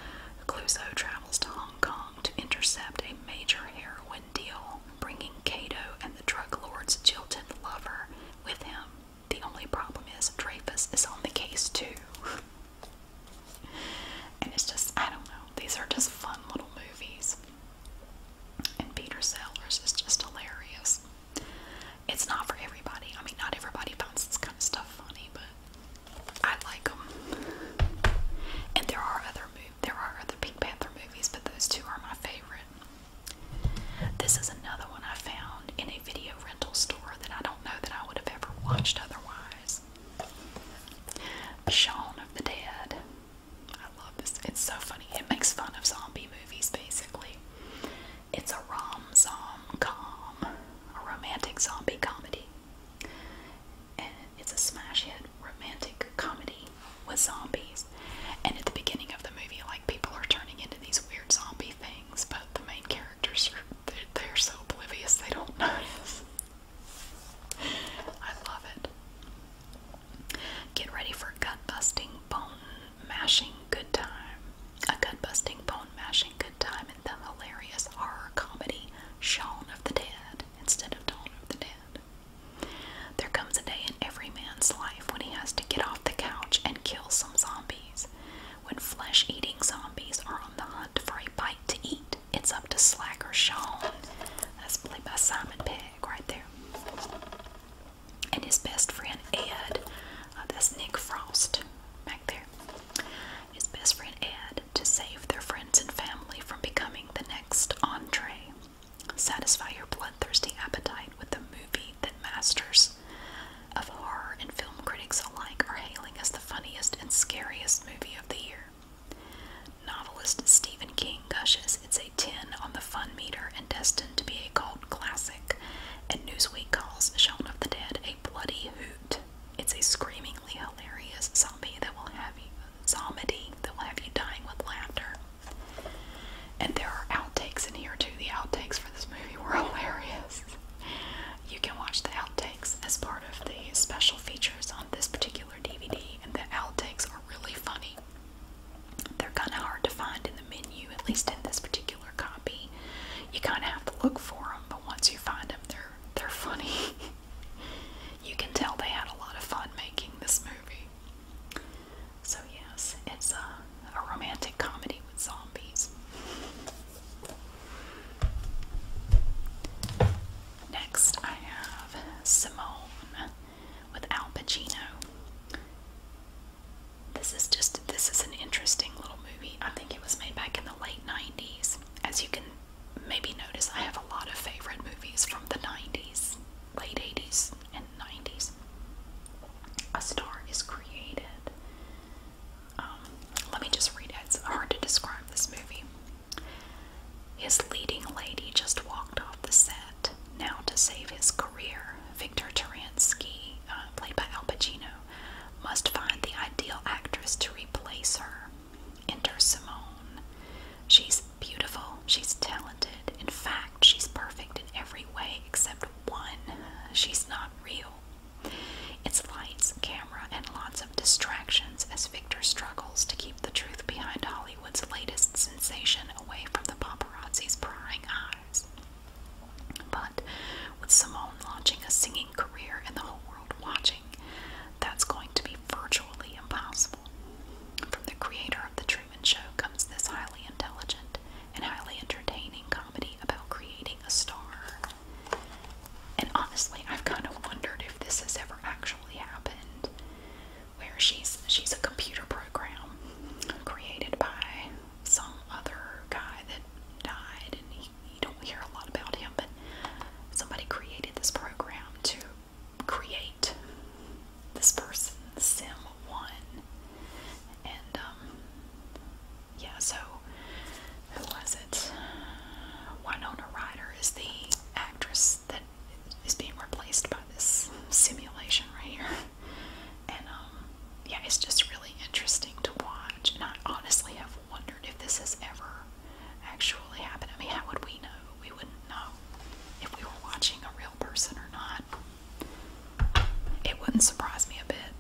Clouseau travels to Hong Kong to intercept a major heroin deal bringing Cato and the drug lord's jilted lover with him. The only problem is Dreyfus is on the case too. and it's just, I don't know, these are just fun little movies. And Peter Sellers is just hilarious. It's not for everybody. I mean, not everybody finds this kind of stuff funny, but I like them. And there are other there are other Pink Panther movies, but those two are my favorite. This is another one I found in a video rental store that I don't know that I would have ever watched otherwise. Shaun of the Dead. I love this. It's so funny. It makes fun of zombie movies basically. It's a rom-zom-com, a romantic zombie comedy. And it's a smash hit romantic comedy with zombies. And at the beginning of the movie, like people are turning into these weird zombie things, but the main characters are—they're so oblivious they don't know. I love it. Get ready for gut-busting, bone-mashing good time. A gut-busting, bone-mashing good time in the hilarious horror comedy Shaun of the Dead instead of Dawn of the Dead. There comes a day in every man's life when he has to get off the couch and kill some zombies. When flesh eating zombies are on the hunt for a bite to eat, it's up to Slacker Sean. That's played by Simon Pegg right there. And his best friend Ed. Uh, that's Nick Frost back there. His best friend Ed to save their friends and family from becoming the next entree. Satisfy your bloodthirsty appetite with the movie that masters of horror and film critics alike are hailing as the funniest and scariest movie of the year. Novelist Stephen King gushes it's a 10 on the fun meter and destined to be a cult classic, and Newsweek calls Shaun of the Dead a bloody hoot. It's a screamingly hilarious zombie that will have you, zombie that will have you dying with laughter. And there are outtakes in here too. The outtakes for this movie were hilarious. You can watch the outtakes as part of the special features on this particular DVD, and the outtakes are really funny. They're kind of hard to find in the menu, at least in this particular copy. You kind of have to look for them, but once you find them, they're they're funny. you can tell they had a lot of fun making this movie. So yes, it's a, romantic comedy with zombies. Next, I have Simone with Al Pacino. This is just this is an interesting little movie. I think it was made back in the late 90s. As you can maybe notice, I have a lot of favorite movies from the 90s, late 80s, 90s, a star is created. Um, let me just read it. It's hard to describe this movie. His leading lady just walked off the set. Now, to save his career, Victor Taransky, uh, played by Al Pacino, must find the ideal actress to replace her. Enter Simone. She's beautiful, she's talented. In fact, she's perfect in every way except one. She's not real. It's lights, camera, and lots of distractions as Victor struggles to keep the truth behind Hollywood's latest sensation away from the paparazzi's prying eyes. But with Simone launching a singing career and the whole world watching, that's going to be virtually impossible. From the creator of The Truman Show comes this highly intelligent and highly entertaining comedy about creating a star. And honestly, I've kind of wondered if this has ever actually happened, where she's she's a computer program created by some other guy that died, and you don't hear a lot about him, but somebody created this program to create this person, Sim One, and um, yeah. So who was it? Winona Ryder is the actress that is being replaced by this simulation right here, and um, yeah, it's just really interesting to watch. And I honestly have wondered if this has ever actually happened. I mean, how would we know? We wouldn't know if we were watching a real person or not. It wouldn't surprise me a bit.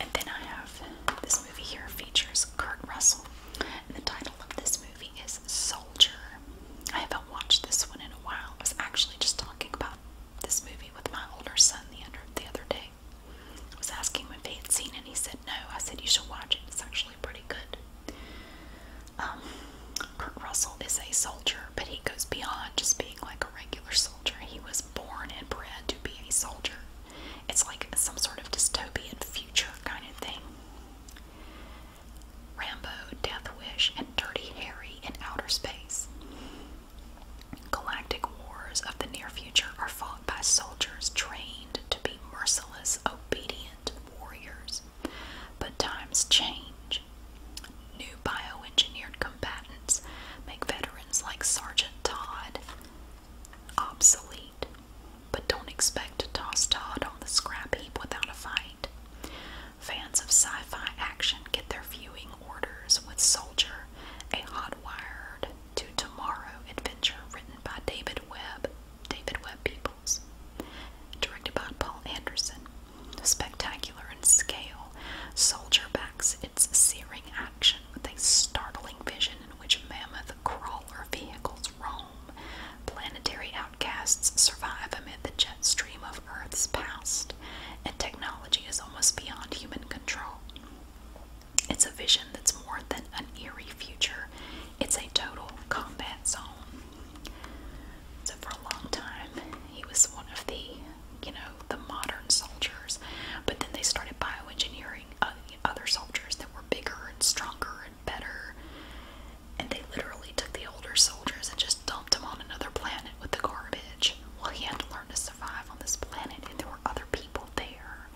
And then I have this movie here features Kurt Russell. And the title of this movie is Soldier. I haven't watched this one in a while. I was actually just talking about this movie with my older son the other, the other day. I was asking him if he had seen it and he said no. I said you should watch it. It's actually actually pretty good. Um, Russell is a soldier, but he goes beyond just being like a regular soldier. He was born and bred to be a soldier. It's like some sort of dystopian future kind of thing. Rambo, Death Wish, and Dirty Harry in Outer Space. Galactic wars of the near future are fought by soldiers trained to be merciless, obedient warriors but times change. New bioengineered combatants make veterans like Sergeant Todd obsolete, but don't expect to toss Todd on the scrap heap without a fight. Fans of sci fi action get their viewing orders with Soldier, a hot wired to tomorrow adventure written by David Webb David Webb Peoples, directed by Paul Anderson. Spectacular in scale, Soldier backs its searing action with a startling vision in which mammoth crawler vehicles roam. Planetary outcasts survive amid the jet stream of Earth's past, and technology is almost beyond human control. It's a vision that's more than an eerie future, it's a total combat zone. So for a long time, he was one of the, you know, the modern soldiers. But then they started bioengineering other soldiers that were bigger and stronger and better. And they literally took the older soldiers and just dumped them on another planet with the garbage. Well, he had to learn to survive on this planet, and there were other people there.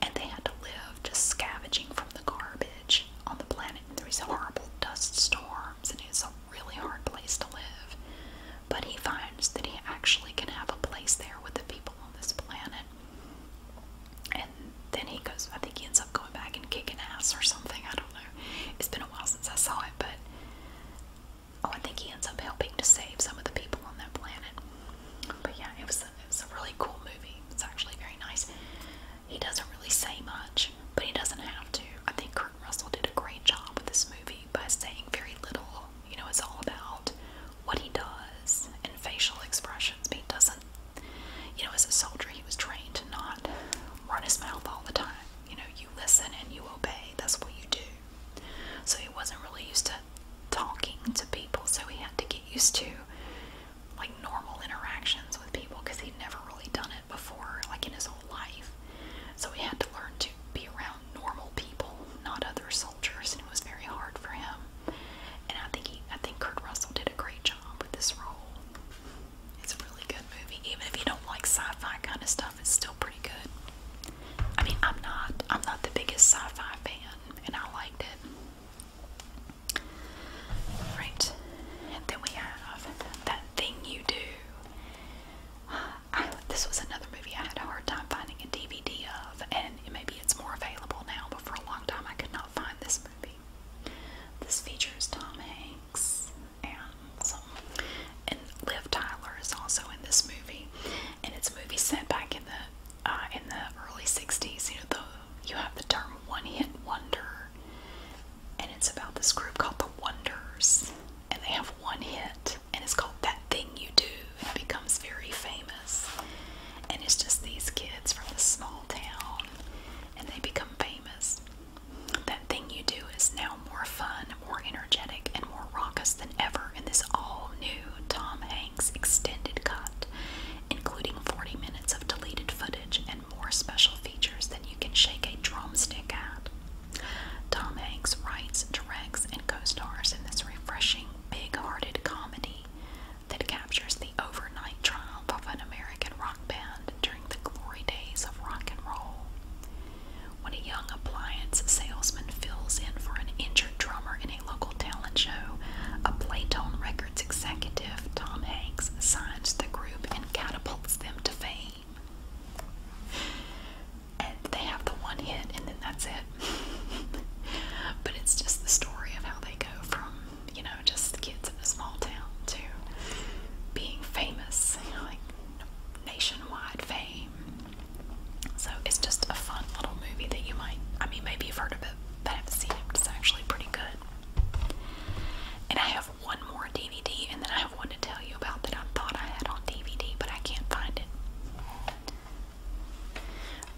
And they had to live just scavenging from the garbage on the planet. There is horrible dust storms, and it's a really hard place to live. But he finds that he actually can have a place there with the people on this planet. And then he goes, I think he ends up going back and kicking ass or something. I don't know. It's been a while since I saw it, but oh, I think he ends up helping to save some of the people on that planet. But yeah, it was it was a really cool movie. It's actually very nice. He doesn't really say much, but he doesn't have to. I think Kurt Russell did a great job with this movie by saying very little. You know, it's all about what he does and facial expressions. But he doesn't, you know, as a soldier, he was trained to not run his mouth all the time. You know, you listen and you obey. That's what you do. So he wasn't really used to talking to people, so he had to get used to like normal interactions with people because he'd never really done it before, like in his whole life. So he had to learn to be around normal people, not other soldiers, and it was very hard for him. And I think he, I think Kurt Russell did a great job with this role. It's a really good movie, even if you don't like sci-fi kind of stuff. It's still pretty good. I mean, I'm not, I'm not the biggest sci-fi fan, and I liked it. Right, then we have that thing you do. this was another movie I had a hard time finding a DVD of, and maybe it's more available now, but for a long time I could not find this movie. This features Tom Hanks and and Liv Tyler is also in this movie, and it's a movie set back in the uh, in the early '60s. You know, the you have the term one-hit wonder and it's about this group called The Wonders, and they have one hit, and it's called That Thing You Do, and it becomes very famous. And it's just these kids from this small town, and they become famous. That Thing You Do is now more fun, more energetic, and more raucous than ever in this all new Tom Hanks extended cut, including 40 minutes of deleted footage and more special features than you can shake a drumstick at. Tom Hanks writes, directs, and co stars in this refreshing, big hearted comedy that captures the overnight triumph of an American rock band during the glory days of rock and roll. When a young appliance salesman fills in for an injured drummer in a local talent show, a Playtone record its executive Tom Hanks signs the group and catapults them to fame. they have the one hit and then that's it. but it's just the story of how they go from, you know, just kids in a small town to being famous, like nationwide fame. So it's just a fun little movie that you might, I mean, maybe you've heard of it, but haven't seen it. It's actually pretty good. And I have one more DVD, and then I have one to tell you about that I thought I had on DVD, but I can't find it.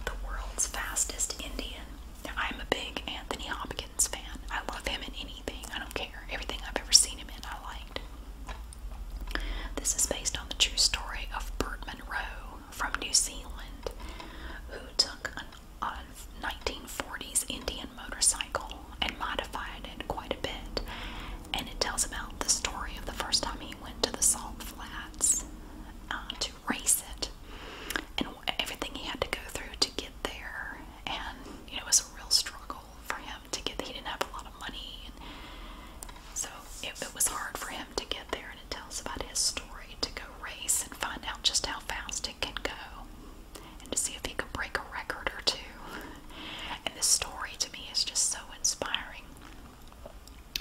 The World's Fastest Indian. I'm a big Anthony Hopkins fan. I love him in anything. I don't care. Everything I've ever seen him in, I liked. This is based on the true story of Bert Monroe from New Zealand, who took an a 1940s Indian motorcycle and modified it quite a bit. And it tells about the story of the first time he went to the salt flats uh, to race it and everything he had to go through to get there. And it was a real struggle for him to get there. He didn't have a lot of money. And so it, it was hard for him to get there, and it tells about his story to go race and find out just how fast Stick and Go and to see if he can break a record or two. And this story to me is just so inspiring.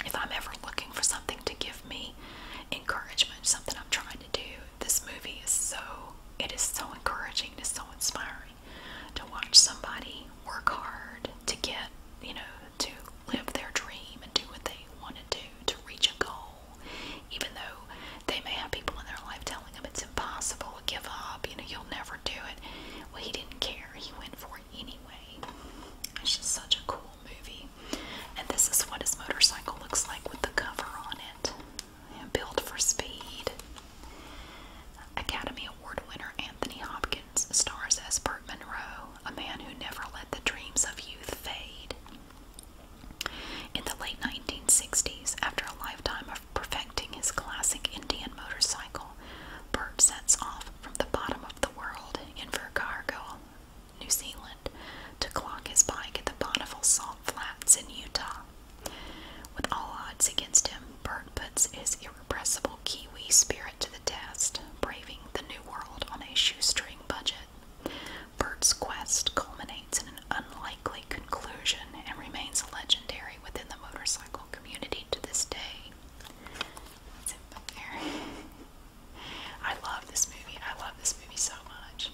If I'm ever looking for something to give me encouragement, something I'm trying to do, this movie is so it is so encouraging, it is so inspiring to watch somebody work hard to get, you know, to live their dream and do what they want to do, to reach a goal even though they may have people in their life telling them it's impossible, to give up, you know, you'll never do it. Well, he didn't care, he went for it anyway. It's just such a cool movie. And this is what his motorcycle looks like with the cover on it. Yeah, built for speed. Academy Award winner Anthony Hopkins stars as Bert Monroe, a man who never let the dreams of youth fade. In the late 1960s, after a lifetime of perfecting his classic Indian motorcycle, Bert sets off from the bottom of the world in Virgargo, New Zealand, to clock his bike at the Bonneville Salt Flats in Utah. With all odds against him, Bert puts his irrepressible Kiwi spirit to the test, braving the new world on a shoestring budget it. quest culminates in an unlikely conclusion and remains legendary within the motorcycle community to this day. I love this movie. I love this movie so much.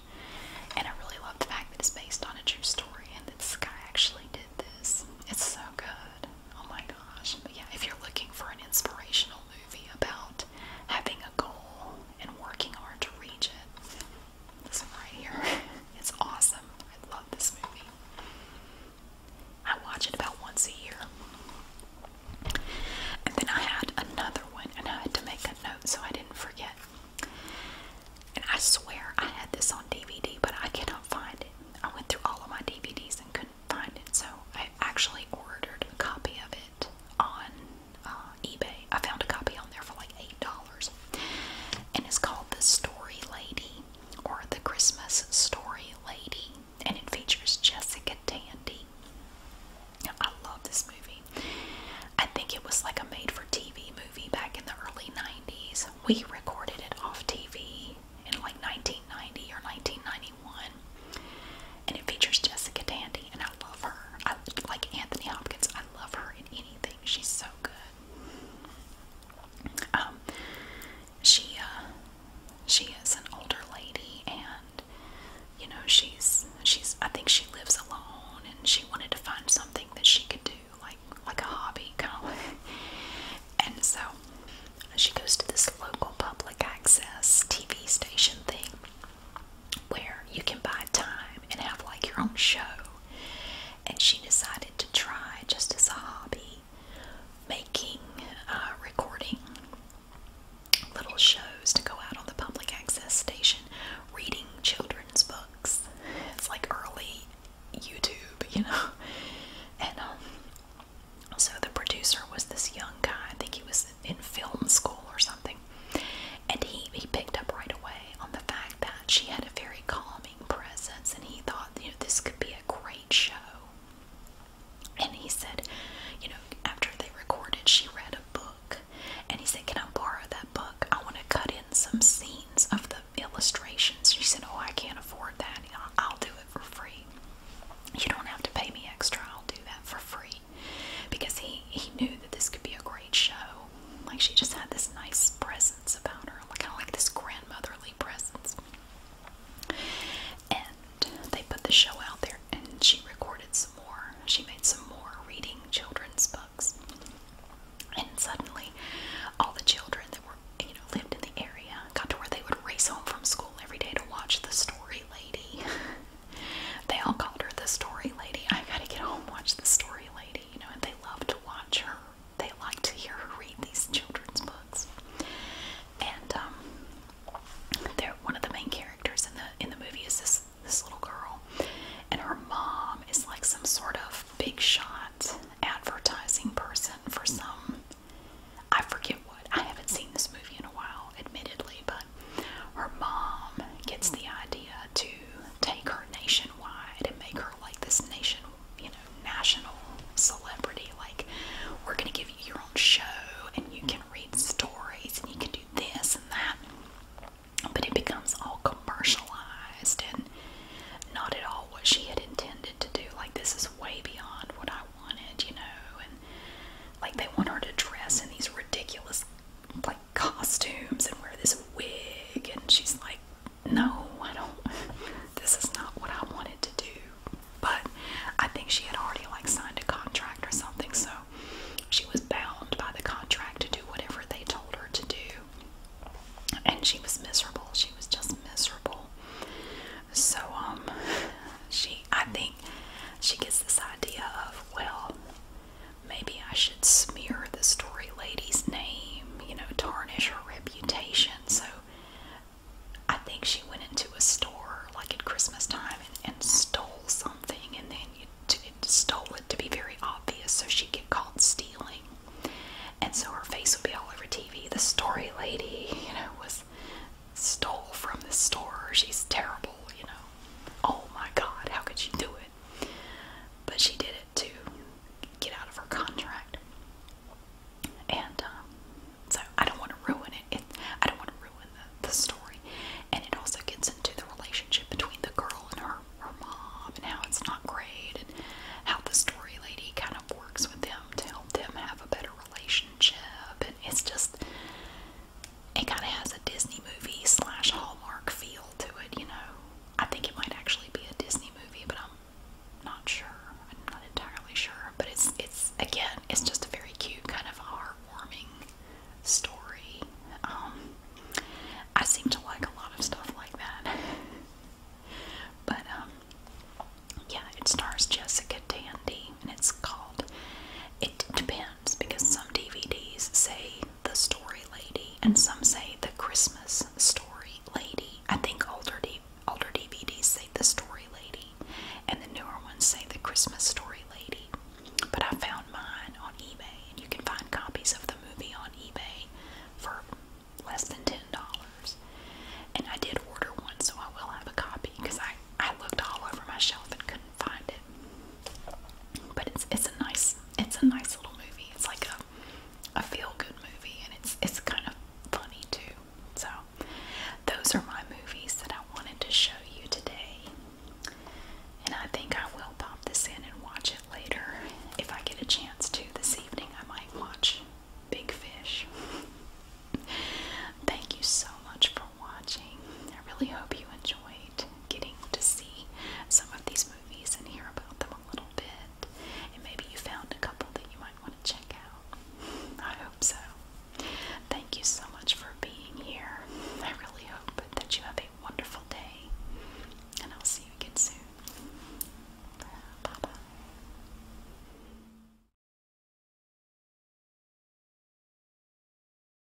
And I really love the fact that it's based on a true story and that this guy actually did this. It's so good. Oh my gosh. But yeah, if you're looking for an inspirational movie about having a goal and working hard to reach it. This one right here. It's awesome. I love this movie. I watch it about once a year. And then I had another one and I had to make a note so I didn't forget. And I swear I had this on DVD, but I cannot find it. I went through all of my DVDs and couldn't find it, so I actually ordered a copy of it on uh, eBay. I found a copy on there for like $8. And it's called The Story Lady or The Christmas Story Lady. And it features Jessica Tandy. I love this movie. I think it was like a made for TV movie back in the early 90s. We recorded it off TV in like 1990 or 1991 and it features Jessica Tandy, and I love her. I like Anthony Hopkins. I love her in anything. She's so good. Um, she uh, she is an older lady, and you know she's she's. I think she lives alone, and she wanted to find something that she could do, like like a hobby, kind of. and so she goes to this local public access TV station thing where you can buy time and have like your own show. And she decided to try just as a hobby making, uh, recording little shows to go out on the public access station, reading children's books. It's like early YouTube, you know. And um, so the producer was this young guy, I think he was in film school or something. And he, he picked up right away on the fact that she had a very calming presence, and he thought, you know, this could be a great show. And he said, you know, after they recorded, she read a book, and he said, Can I borrow that book? I want to cut in some scenes of the illustrations. She said, Oh, I can't afford that. I'll do it for free. You don't have to pay me extra, I'll do that for free because he he knew that this could be a great show. Like she just had this nice presence about her, like kind of like this grandmotherly presence. And they put the show out there, and she recorded some more. She made some more reading children's books, and suddenly, all the children that were you know lived in the area got to where they would race home from school every day to watch the story lady They all called her the story lady. I gotta get home, watch the story lady, you know, and they love to watch her. They like to hear her read these children's books. And um they're one of the main characters in the in the movie is this this little girl. And her mom is like some sort of big shot advertising person for some I forget what. I haven't seen this movie in a while admittedly, but her mom gets the idea to take her nationwide and make her like this nation, you know, national celebrity. Like, we're gonna give you your own show, and you can read stories, and you can do this and that. But it becomes all commercialized and not at all what she had intended to do. Like, this is way beyond what I wanted, you know. And like, they want her to dress in these ridiculous, like, costumes and wear this wig and she's like no I don't this is not what I wanted to do but I think she had already like signed a contract or something so she was bound by the contract to do whatever they told her to do and she was miserable she was just miserable so um she I think she gets this idea of well Maybe I should smear the story lady's name, you know, tarnish her reputation. So I think she went into a store like at Christmas time and, and stole something, and then you it stole it to be very obvious, so she'd get caught stealing. And so her face would be all over TV. The story lady, you know, was stole from the store. She's terrible, you know oh my god, how could she do it? But she did it to get out of her contract. And um, so I don't want to ruin it. I don't want to ruin the, the story. And it also gets into the relationship between the girl and her, her mom and how it's not great and how the story lady kind of works with them to help them have a better relationship. And it's just, it kind of has a Disney movie slash Hallmark feel to it, you know. I think it might actually be a Disney movie, but I'm not sure. I'm not entirely sure. But it's it's again, it's just a very cute kind of heartwarming story. Um, I seem to like a lot of stuff like that. but um, yeah, it stars Jessica Tandy, and it's called. It depends because some DVDs say the story lady, and some say the Christmas story lady. I think older D older DVDs say the story lady, and the newer ones say the Christmas story lady. But I found mine on eBay, and you can find copies of the movie on eBay for less than ten dollars. And I did order one, so I will have a copy because I I looked all over my shelf and couldn't find it. But it's it's a nice it's a nice little movie. It's like a a feel good movie, and it's it's kind of funny too. So those are my movies that I wanted to show you today. And I think I will pop this in and watch it later. If I get a chance to this evening, I might watch Big Fish. Thank you so much for watching. I really hope you enjoyed getting to see some of these movies and hear about them a little bit. And maybe you found a couple that you might want to check out. I hope so. Thank you so much for being here. I really hope that you have a wonderful day. And I'll see you again soon. Bye bye.